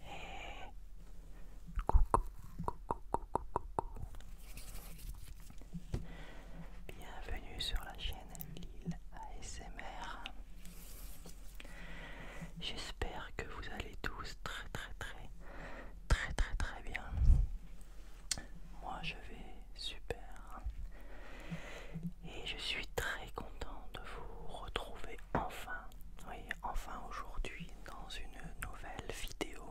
Hey, coucou, coucou, coucou, coucou. Bienvenue sur la chaîne Lille ASMR. J'espère que vous allez tous très très très très très très bien. Moi je vais super. Et je suis très content de vous retrouver enfin, voyez, enfin aujourd'hui dans une nouvelle vidéo.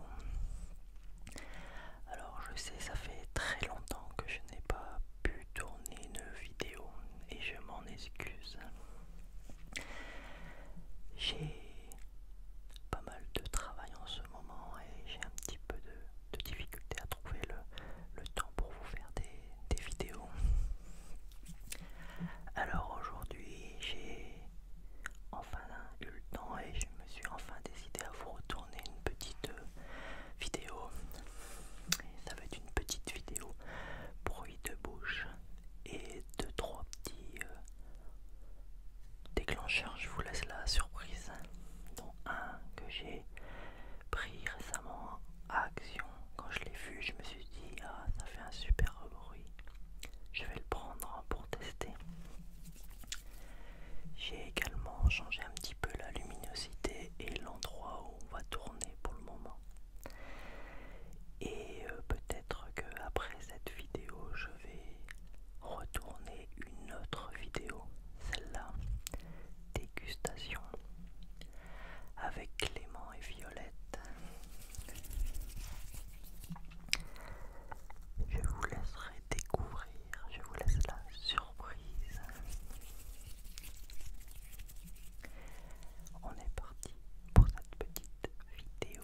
Alors je sais, ça fait très longtemps que je n'ai pas pu tourner une vidéo et je m'en excuse. J'ai pas mal de travail en ce moment et j'ai un petit peu de, difficulté à trouver le, le temps pour vous faire des, des, vidéos. Alors aujourd'hui, j'ai enfin eu le temps et je me suis enfin décidé à vous retourner une petite euh, vidéo. ça va être une petite vidéo bruit de bouche et de trois petits euh, déclencheurs. Je vous laisse la surprise, dont un que j'ai pris récemment à Action quand je l'ai vu, je me suis dit, ah, ça fait un super bruit. Je vais le prendre pour tester. J'ai également changé un petit peu la luminosité et l'endroit où on va tourner pour le moment. Et euh, peut-être qu'après cette vidéo, je vais retourner une autre vidéo, celle-là, dégustation avec Clément et Violette. Je vous laisserai découvrir, je vous laisse la surprise. On est parti pour cette petite vidéo.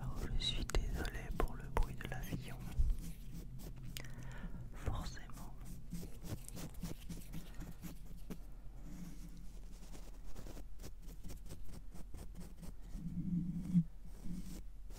Alors je suis désolé pour le bruit de l'avion. Forcément.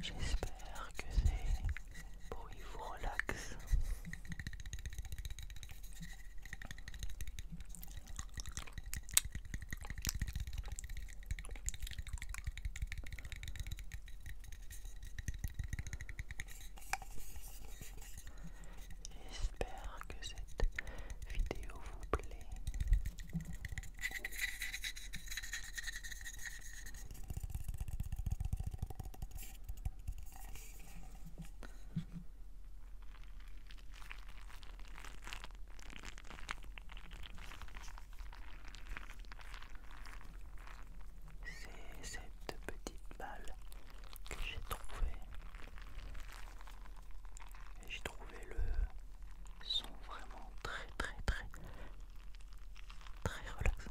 J'espère que ces bruits vous relaxent. J'espère que cette vidéo vous plaît. C'est cette petite balle que j'ai trouvée. Et j'ai trouvé le son vraiment très très très très relaxant.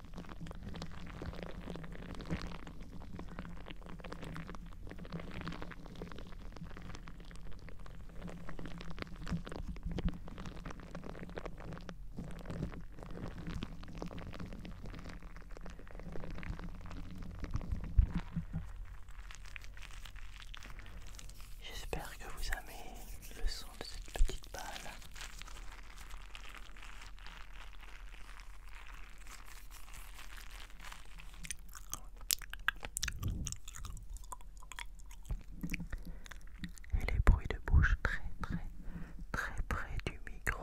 J'espère que vous aimez le son petite balle. Et les bruits de bouche très très très près du micro.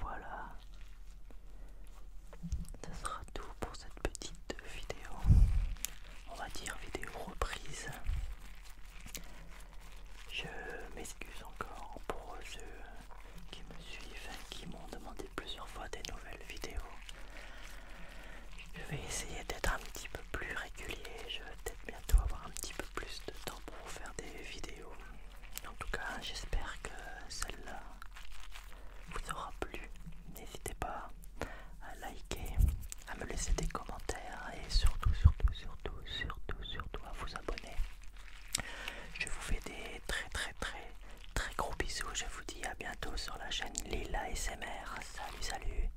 Voilà, ce sera tout pour cette petite vidéo. On va dire vidéo reprise. Je m'excuse encore pour ceux qui me suivent, et qui m'ont demandé plusieurs fois des nouvelles vidéos. Je vais essayer d'être un petit peu plus régulier. Je vais peut-être bientôt avoir un petit peu plus de temps pour faire des vidéos. En tout cas, j'espère que celle-là vous aura plu. N'hésitez pas à liker, à me laisser des commentaires et surtout, surtout, surtout, surtout, surtout à vous abonner. Je vous fais des très, très, très, très gros bisous. Je vous dis à bientôt sur la chaîne Lila SMR. Salut, salut